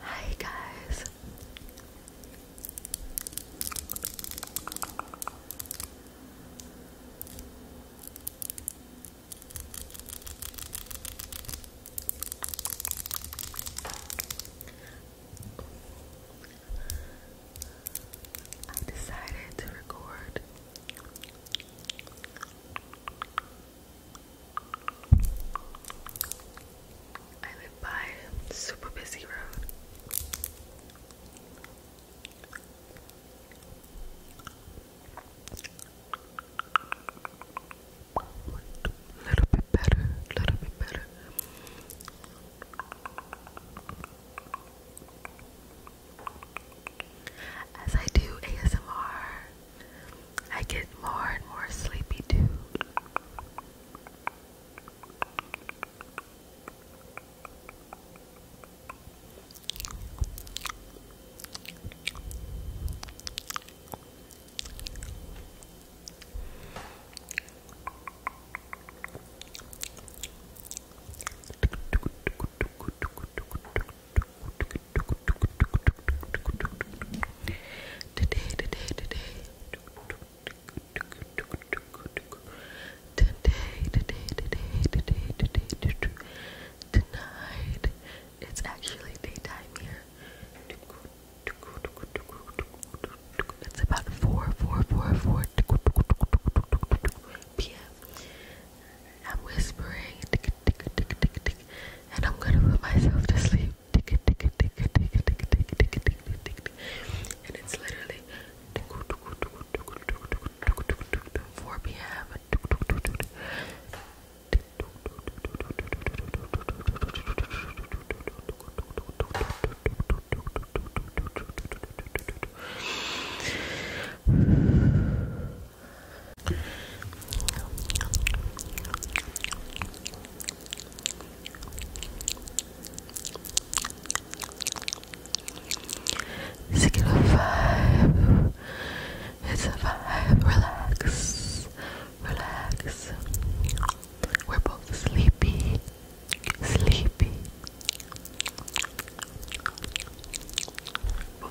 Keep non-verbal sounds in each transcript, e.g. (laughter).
Hi guys. I decided to record I live by a super busy road. Little bit better, little bit better. As I do ASMR, I get more and more sleepy too. Today, today, today. Today, today, today, tonight. It's actually daytime here. It's about 4, p.m. I'm whispering, tick, tick, tick, tick, tick, and I'm gonna put myself to sleep. Tick, tick, tick, tick, tick, tick, tick, tick, tick, tick, tick, and it's literally 4 p.m. Six It's five. Relax. Relax. We're both sleepy. Sleepy.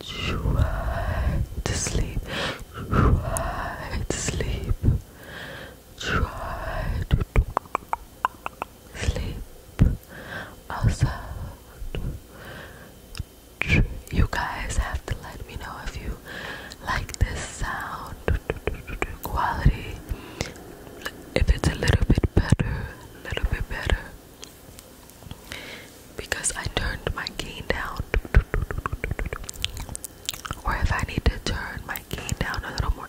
Try to sleep. Try to sleep. Try to sleep outside. You guys have to let me know if you like this sound quality. If it's a little bit better, a little bit better because I turned my gain down. Or if I need to turn my gain down a little more,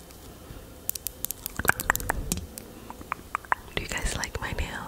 Do you guys like my nails?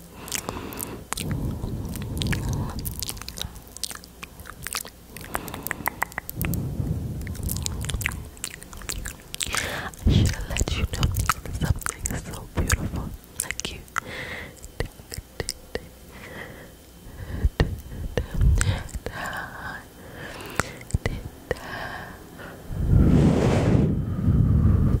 I should have let you know something so beautiful like you. (laughs)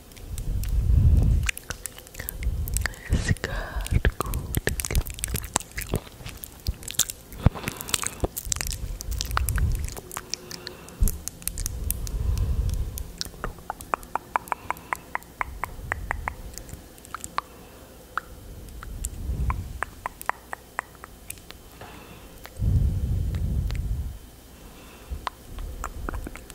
It's good, good. Good.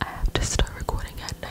I have to start recording at night.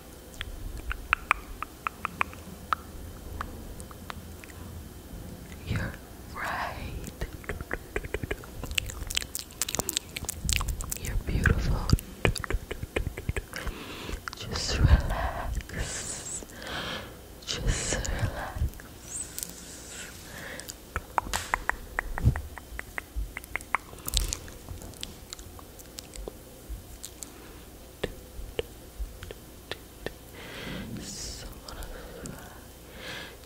You're right. You're beautiful. Just relax. Just relax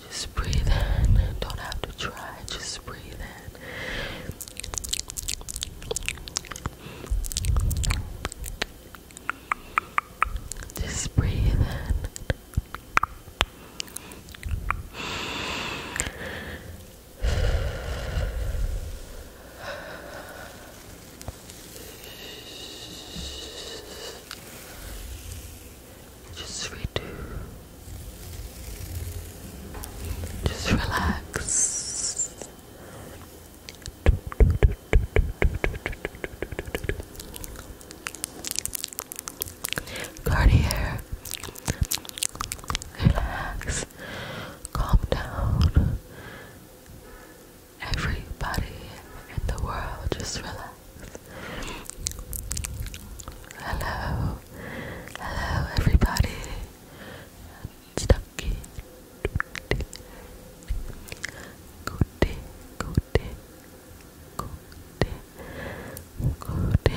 just breathe in. Don't have to try. Just breathe in. Just breathe in. Just redo. Just relax. Cartier. Relax calm down. Everybody in the world, just relax. Hello, hello, everybody. Stucky, goody, goody, goody, goody,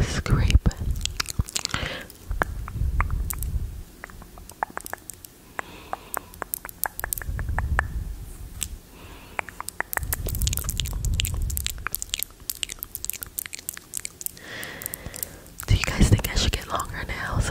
Scrape. Do you guys think I should get longer nails?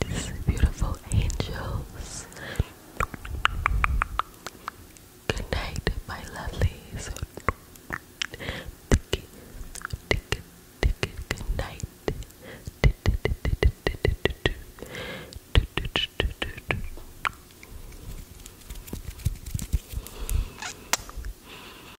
these beautiful angels. Good night, my lovelies. good night.